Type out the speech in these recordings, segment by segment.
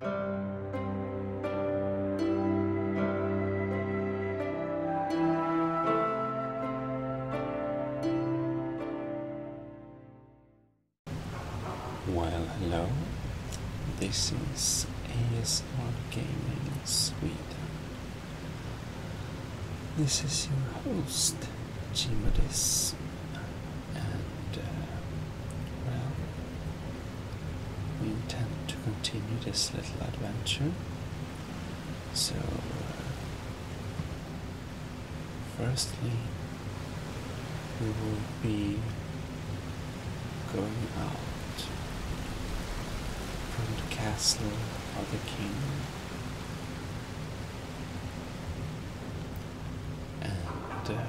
Well, hello. This is ASR Gaming Sweden. This is your host, Jimadis, and uh, well, we intend to continue this little adventure. So, uh, firstly, we will be going out from the castle of the king. And uh,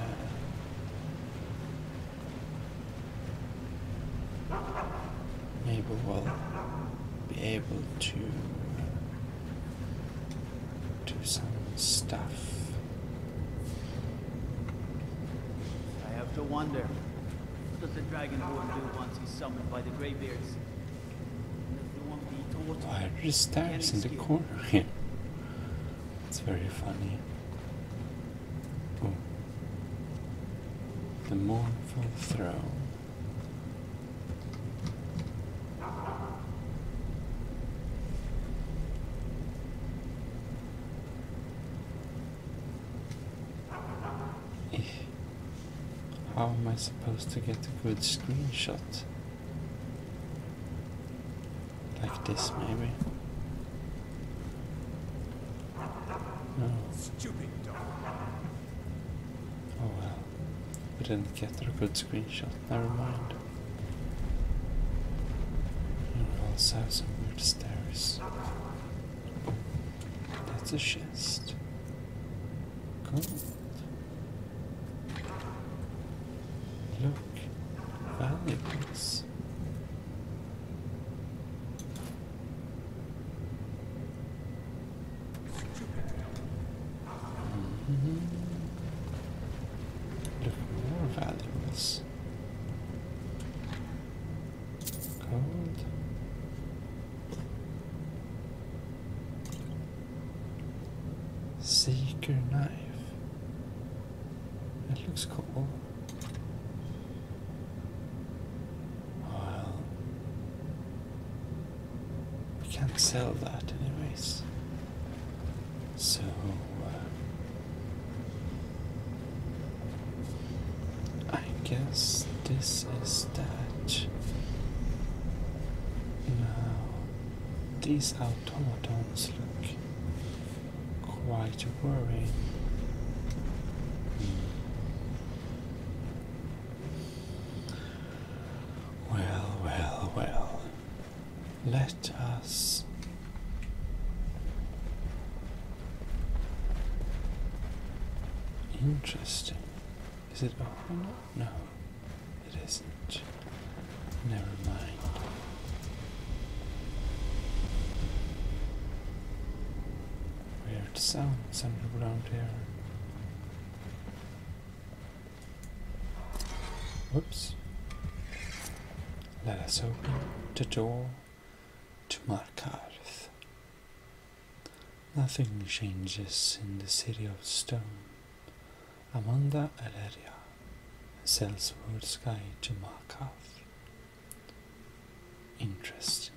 maybe we'll be able to do some stuff. I have to wonder, what does the Dragonborn do once he's summoned by the graybeards? Why are there stabs in the corner here? it's very funny. Boom. The mournful throne. Eh, how am I supposed to get a good screenshot? Like this, maybe. Stupid dog. Oh well. We didn't get a good screenshot, never mind. We also have some weird stairs. That's a chest. Cool. Look, valuables more value is Seeker knife. It looks cool. Well, we can't sell that, anyways. So, uh, I guess this is that. Now, these automatons look quite worried. Hmm. Well, well, well. Let us Interesting. Is it open? No, it isn't. Never mind. We Weird sounds underground here. Whoops. Let us open the door to Markarth. Nothing changes in the city of stone. Amanda Aleria sells World's Guide to Markarth. Interest.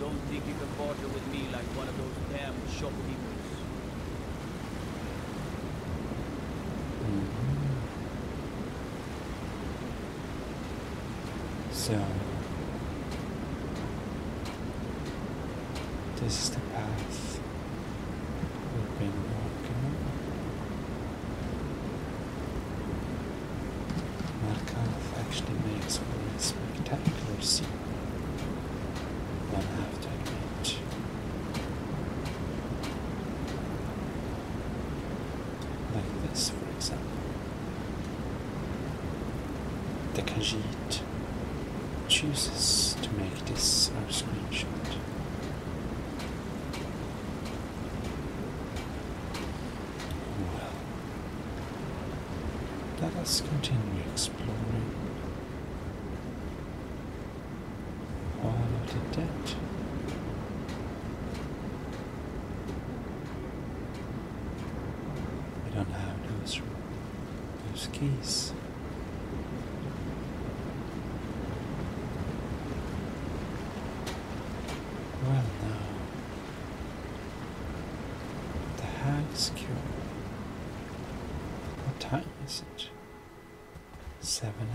Don't think you can barter with me like one of those damn shopkeepers. Mm this is the path we've been walking on. Markov actually makes for a spectacular scene, one have to Like this, for example. The Khajiit chooses to make this our screenshot. Well, let us continue exploring all of the debt. We don't know how to do this those there's geese. Well now, the hag is What time is it? 7 a.m.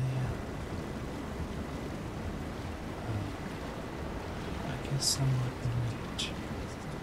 I guess I'm not late.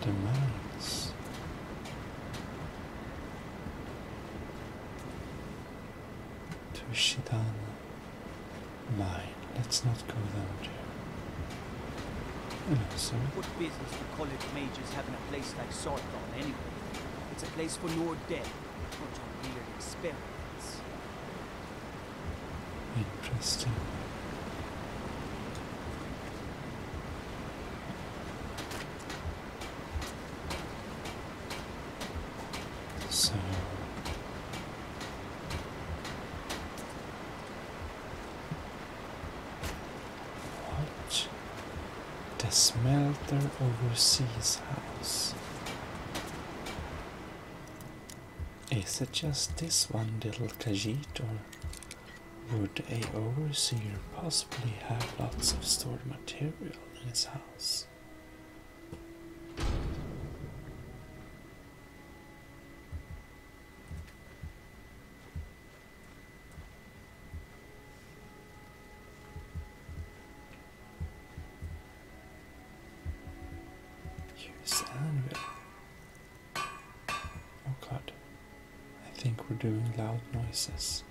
demands. Toshidana Mind, Let's not go down there. Hello, sir. What business do college majors having a place like Sargon anyway? It's a place for your dead, not your weird experiments. Interesting. So what the smelter overseas house is it just this one little cajet, or would a overseer possibly have lots of stored material in his house? Here's anvil. Oh god, I think we're doing loud noises.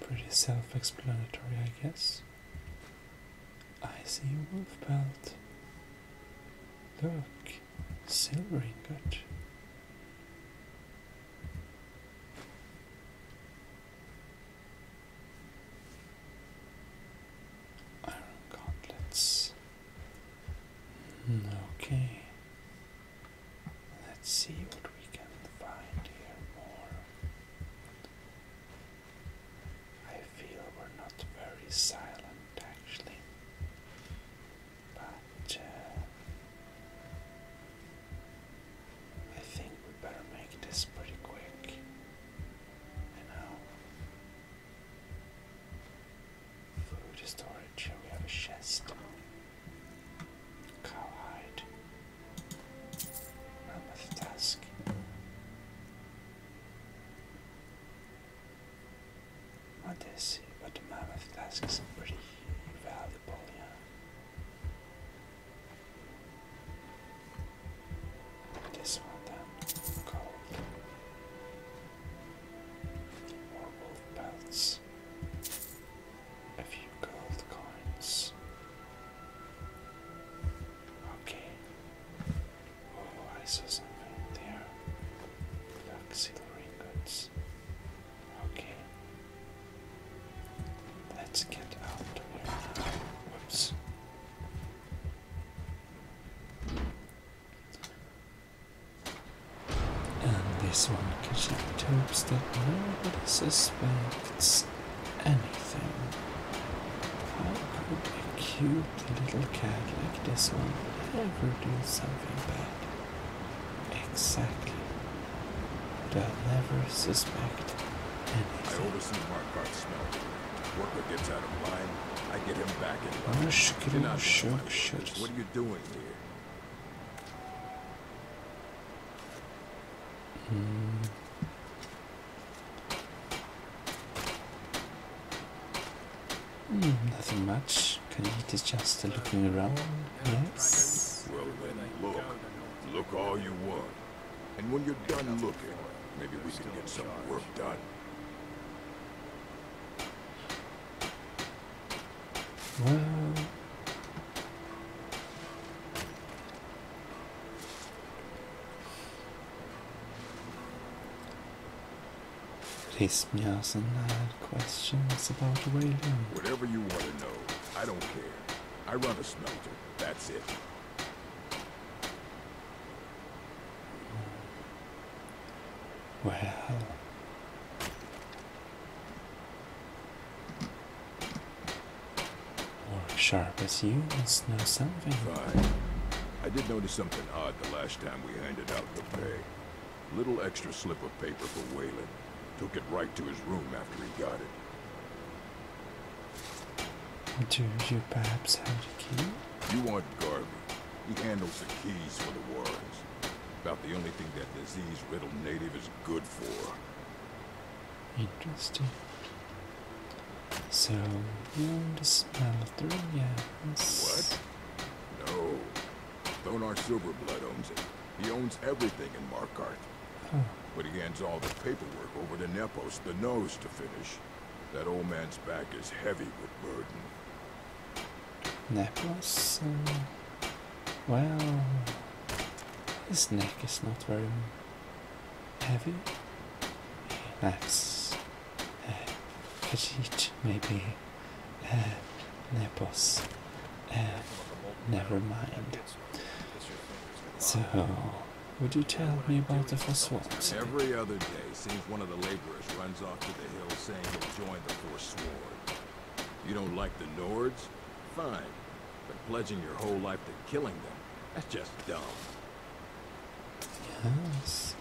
Pretty self explanatory, I guess. I see a wolf pelt. Look, silver ingot. Iron gauntlets. Hmm, okay. Let's see what we can find here more. I feel we're not very silent actually, but uh, I think we better make this pretty quick food storage, we have a chest, cowhide, mammoth task. What is it? But the mammoth task is pretty valuable, yeah. This one then, gold. wolf pelts. A few gold coins. Okay. Oh, I saw something there. Black silver Okay. Let's get out Whoops. And this one contains tubes that nobody suspects anything. How could a cute little cat like this one ever do something bad? Exactly. They'll never suspect anything. Worker gets out of line. I get him back in line. Cannot shark ships. What are you doing here? Hmm. Mm, nothing much. Can eat just looking around. Yes. Well then, look. Look all you want. And when you're done looking, maybe we can get some work done. Well... pissed me off and I had about Wayland. Whatever you want to know, I don't care. I run a smelter, that's it. Well, more sharp as you must know something. Fine. I did notice something odd the last time we handed out the pay. Little extra slip of paper for Wayland. Took it right to his room after he got it. Do you perhaps have the key? You want Garvey. He handles the keys for the warrants. About the only thing that disease-riddled native is good for. Interesting. So, you want to smell through? Yes. What? No. Thonar Silverblood owns it. He owns everything in Markarth. But he hands all the paperwork over to Nepos, the nose, to finish. That old man's back is heavy with burden. Nepos? Um, well, his neck is not very heavy. That's uh, Khajiit, maybe. Uh, Nepos. Uh, never mind. So. Would you tell me about the Forsworn? Every other day, seems one of the laborers runs off to the hill saying he'll join the Forsworn. You don't like the Nords? Fine. But pledging your whole life to killing them, that's just dumb. Yes.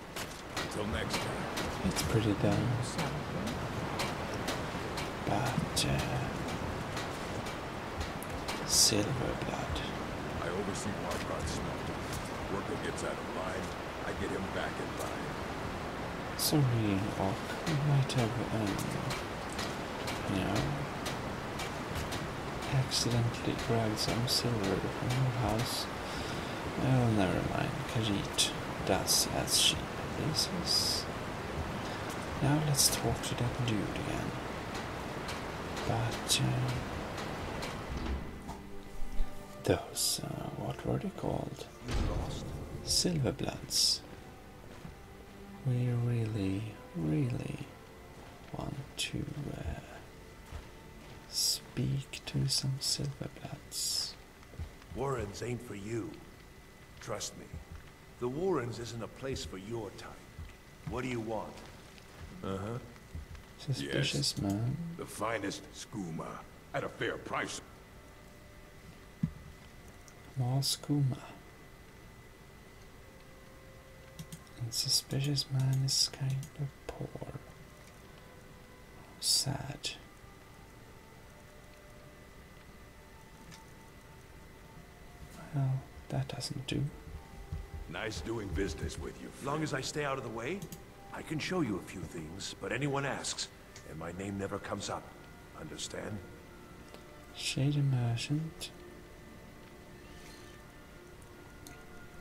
Until next time. It's pretty dumb. But, silver blood. I oversee Markart's smelter. Worker gets out of line, I get him back in line. Sorry, Orc. You might have, um, you know, accidentally grabbed some silver from your house. Oh, never mind. Khajiit does as she pleases. Now let's talk to that dude again. But, uh, those, uh, what were they called? Silverblats. We really, really want to uh, speak to some Silverblats. Warrens ain't for you. Trust me. The Warrens isn't a place for your type. What do you want? Uh-huh. Suspicious man. The finest skooma at a fair price. More skooma. And suspicious man is kind of poor. Sad. Well, that doesn't do. Nice doing business with you. As Long as I stay out of the way, I can show you a few things, but anyone asks, and my name never comes up. Understand? Shade a merchant.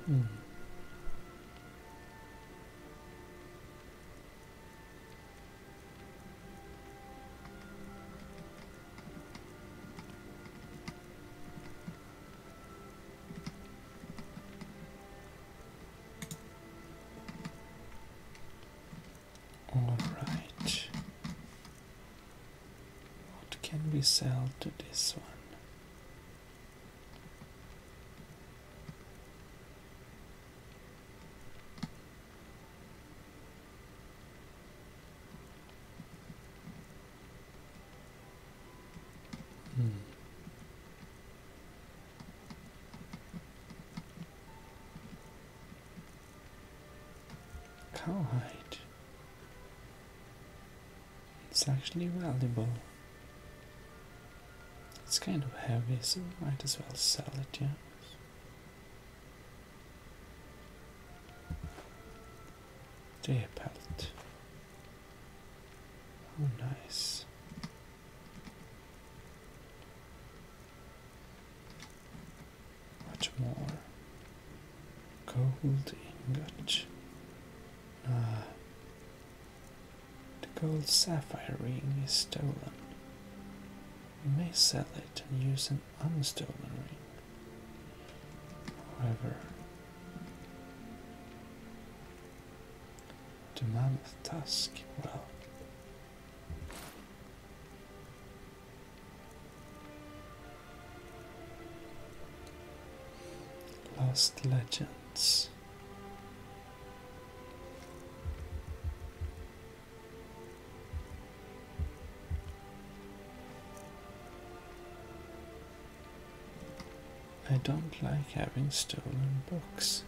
Hmm. All right. What can we sell to this one? Cowhide. Hmm. It's actually valuable. It's kind of heavy, so we might as well sell it, yeah. Trepelt. Oh, nice. Much more gold ingot. Ah, the gold sapphire ring is stolen. You may sell it and use an unstolen ring. However, the mammoth tusk, well. Lost Legends. I don't like having stolen books.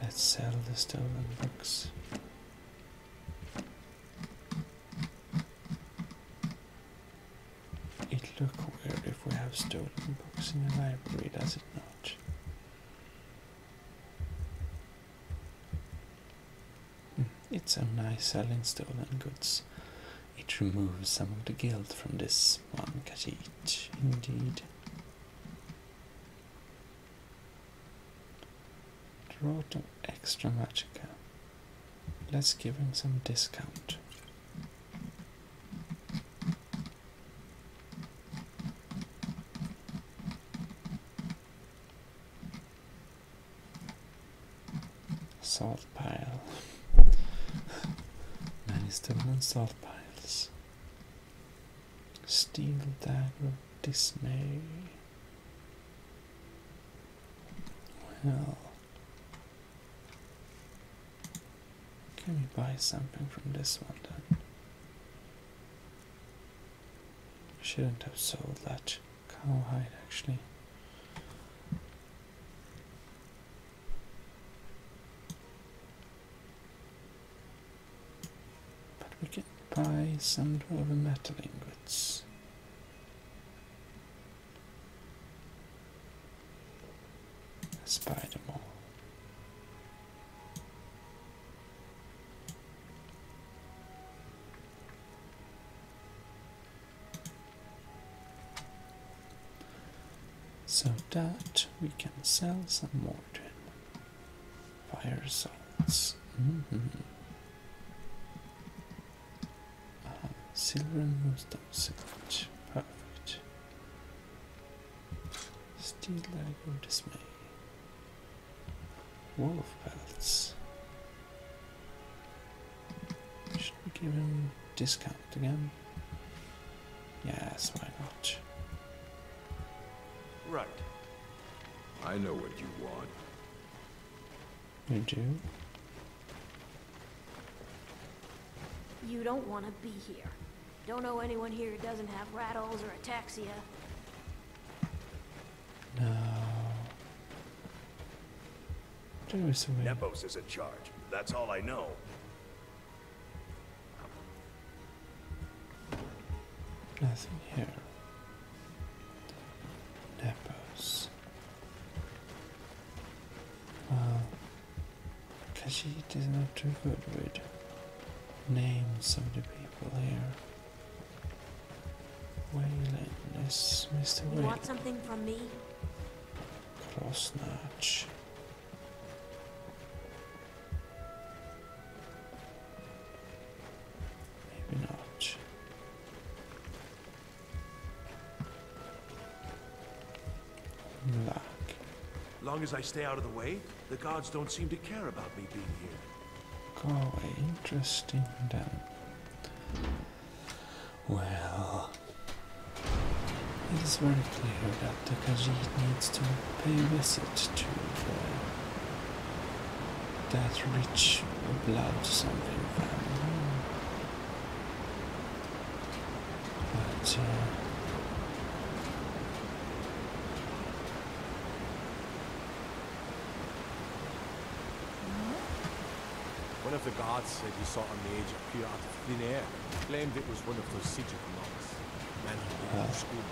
Let's sell the stolen books. It look weird if we have stolen books in the library, does it not? Hmm, it's so nice selling stolen goods. It removes some of the guilt from this one Khajiit, indeed. Draw to extra magic. Let's give him some discount. Salt pile. Man is still salt piles. Steel dagger of dismay. Well, can we buy something from this one then? Shouldn't have sold that cowhide actually. But we can buy some raw metal ingots. let buy them all so that we can sell some more to him. Fire salts. Mm-hmm. Uh-huh. silver and moonstone silage. Perfect. Steel leg or dismay. Wolf pelts. Should we give him discount again? Yes, why not? Right. I know what you want. You do? You don't want to be here. Don't know anyone here who doesn't have rattles or ataxia. No. Nepos is in charge. That's all I know. Nothing here. Nepos. because Khajiit is not too good with names of the people here. Wayland is Mr. You Wayland. want something from me? Cross notch. Maybe not. Black. Long as I stay out of the way, the gods don't seem to care about me being here. Go away. Interesting well, it is very clear that the Khajiit needs to pay a visit to that rich blood something family. But, uh, One of the gods said he saw a mage appear out of thin air. Claimed it was one of those siege marks, Man who uh, school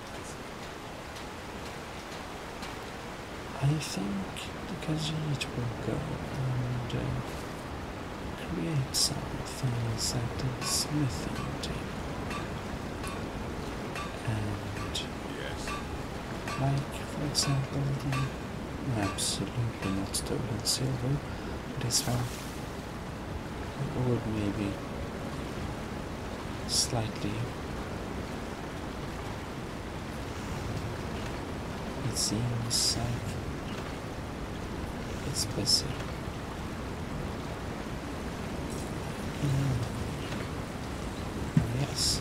I think the Khajiit will go and uh, create some at the smithing table. And yes. like for example the absolutely not stolen silver, This one. Or maybe slightly. It seems like it's busy. Hmm. Yes.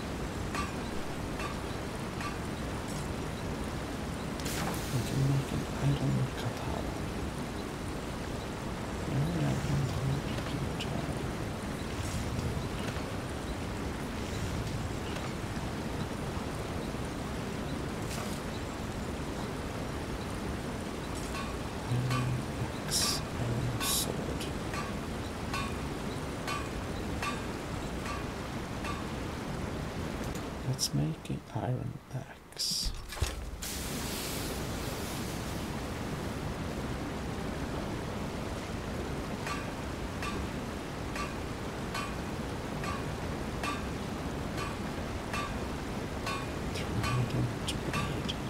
We can make an item katana. Now we have one point to keep a job. Iron axe and Let's make an iron axe.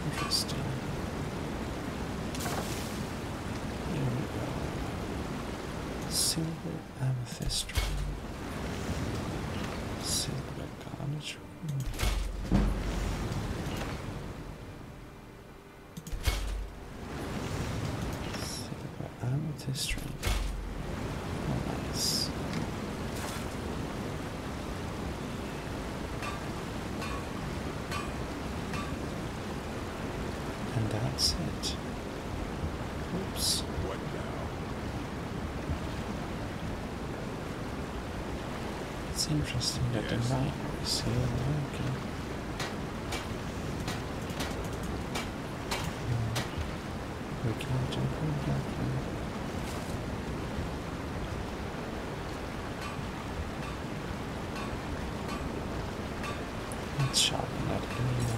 Interesting. Silver amethyst ring. Silver garnet ring. Silver amethyst ring. nice. And that's it. Oops. What now? It's interesting that the light is still working. Hmm. We can't improve back one. Let's sharpen that anyway.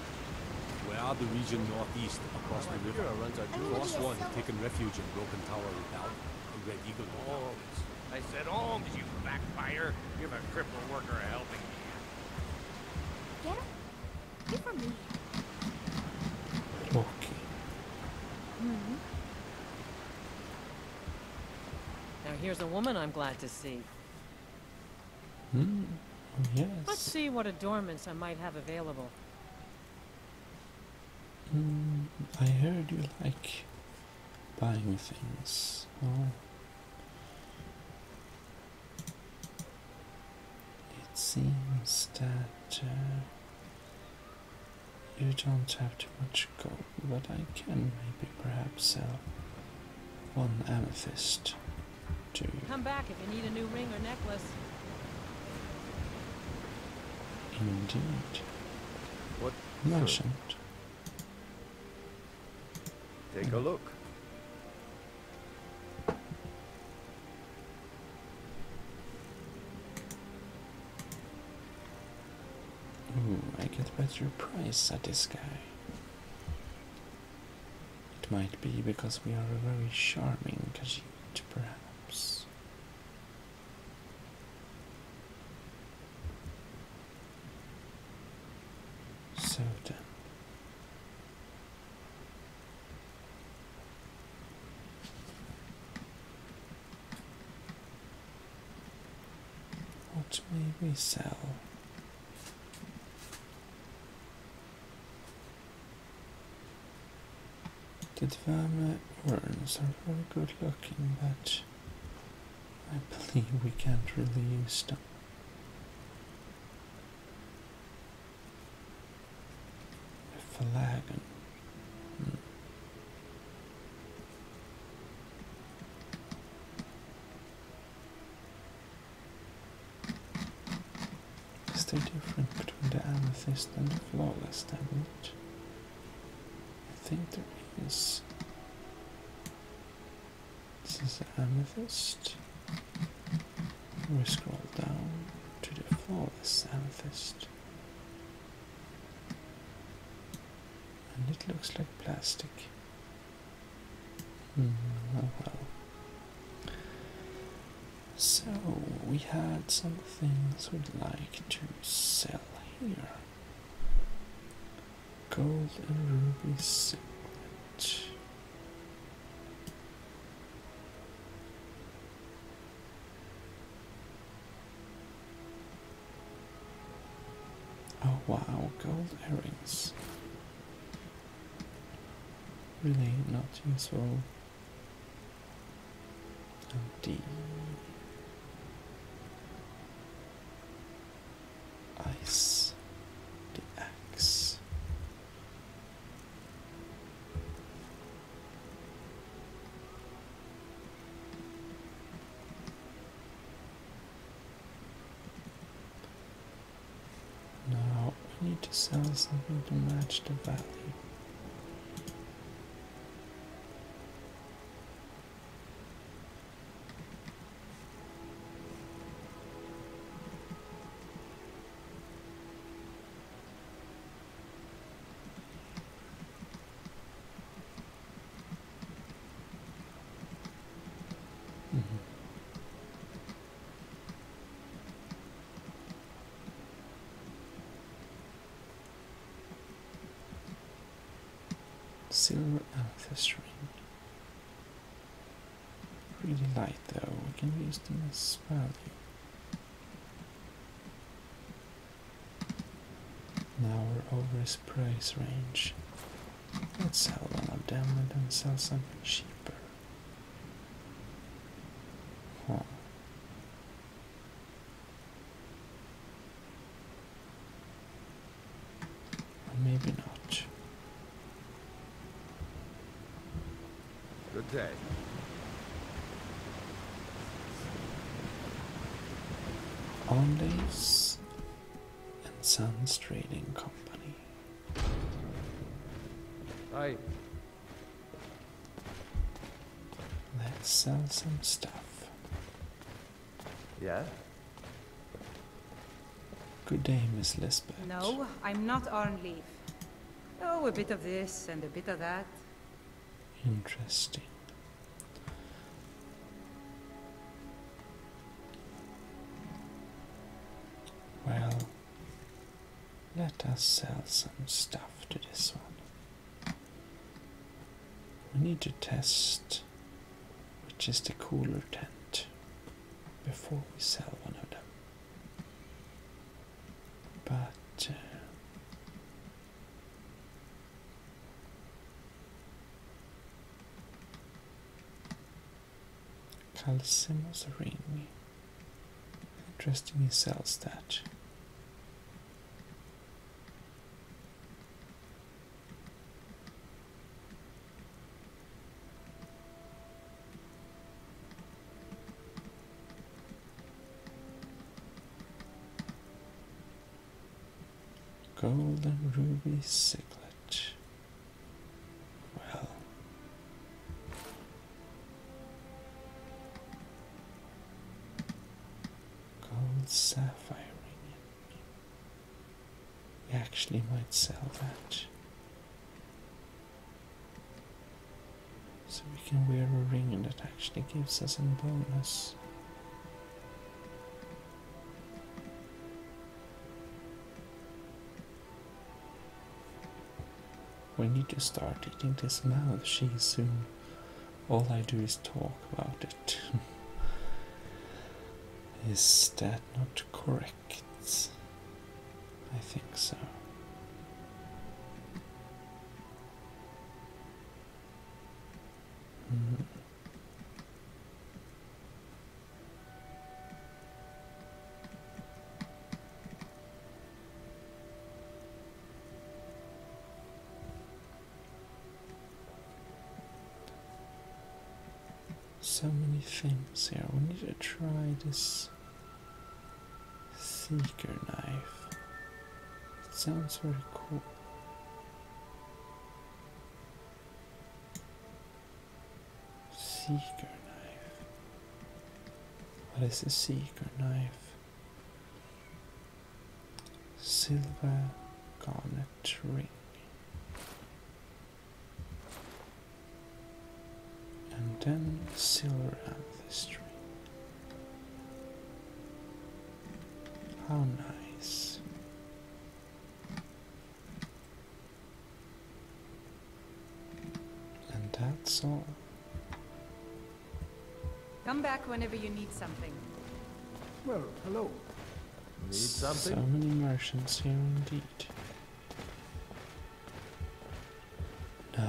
Where are the region northeast across the river? Runs our Cross one had taken refuge in Broken Tower Redoubt and Red Eagle Holmes. Oh, I said Holmes, oh, you backfire. You're a cripple worker a helping hand. Get him? Get for me. Okay. -hmm. Now here's a woman I'm glad to see. Hmm. Yes. Let's see what adornments I might have available. Mm, I heard you like buying things. Oh. It seems that uh, you don't have too much gold, but I can maybe perhaps sell one amethyst. Come back if you need a new ring or necklace. Indeed. What merchant? Take a look. Ooh, I get better price at this guy. It might be because we are a very charming Khajiit perhaps. So then. What may we sell? The Dvama urns are very good looking, but I believe we can't really use them. The flagon. Is there difference between the amethyst and the flawless diamond? I think there is. This is the amethyst. We scroll down to the flawless amethyst. And it looks like plastic. Hmm, oh well. So we had some things we'd like to sell here. Gold and ruby signet. Oh wow, gold earrings. Really not useful. D. Ice. The X. Now we need to sell something to match the value. Mm -hmm. Silver amethyst ring. Really light though, we can use them as value. Now we're over his price range. Let's sell one of them and then sell something cheaper. Maybe not. Good day. Ondays and Sons Trading Company. Aye. Let's sell some stuff. Yeah? Good day, Miss Lisbeth. No, I'm not on leave. Oh, a bit of this and a bit of that. Interesting. Well, let us sell some stuff to this one. We need to test which is the cooler tent before we sell one of them. But uh, Calcimos Interesting cell sells Golden ruby siglet. Well, Gold sapphire ring. We actually might sell that. So we can wear a ring that actually gives us a bonus. We need to start eating this mouth. she soon. All I do is talk about it. is that not correct? I think so. Mm-hmm. So many things here. We need to try this seeker knife. It sounds very cool. Seeker knife. What is a seeker knife? silver garnet ring and then silver amethyst ring. How nice. And that's all. Come back whenever you need something. Well, hello. Need something? So many Martians here indeed. No.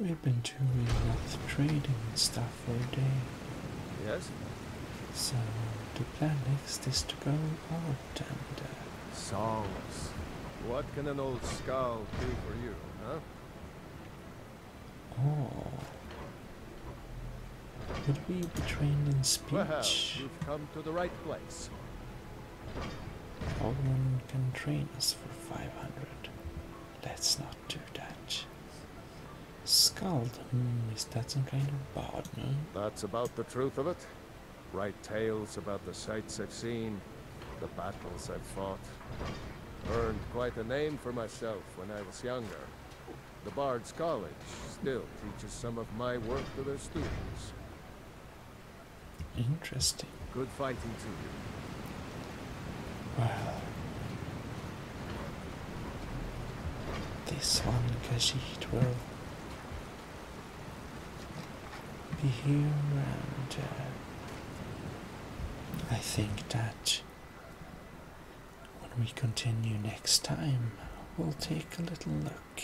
We've been doing enough trading and stuff for a day. Yes? So the plan next is to go on and... Uh... Songs. What can an old skull do for you, huh? Oh. Would we be trained in speech? Well, you've come to the right place. Alderman can train us for 500. Let's not do that. Scald, is that some kind of bard, no? That's about the truth of it. Write tales about the sights I've seen, the battles I've fought. Earned quite a name for myself when I was younger. The Bard's College still teaches some of my work to their students. Interesting. Good fighting to you. Well. This one cathedral be here and uh, I think that when we continue next time we'll take a little look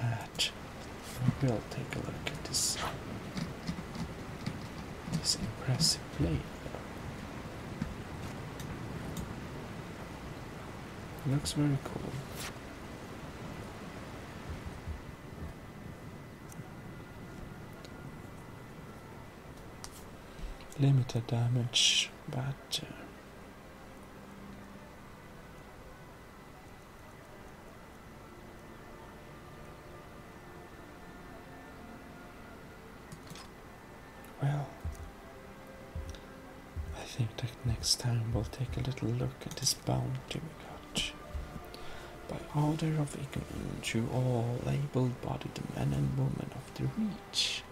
at we'll take a look at this this impressive play looks very cool limited damage but uh, well I think that next time we'll take a little look at this bounty we got. By order of Ignorant, you all labeled bodied the men and women of the Reach,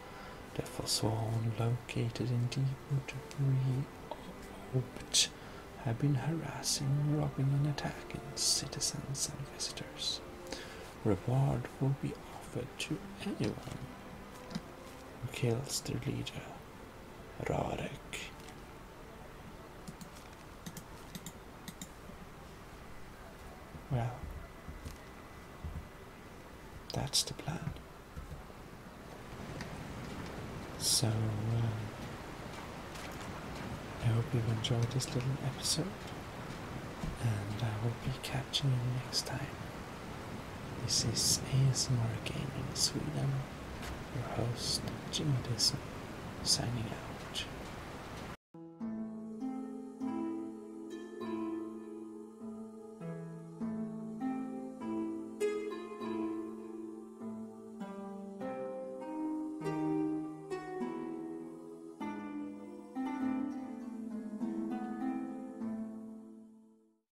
therefore sworn located in Deepwood water pre-opt have been harassing, robbing and attacking citizens and visitors. Reward will be offered to anyone who kills the leader Radek. Well, that's the plan. So, um, I hope you've enjoyed this little episode, and I will be catching you next time. This is ASMR Gaming Sweden, your host Jimmy Disson, signing out.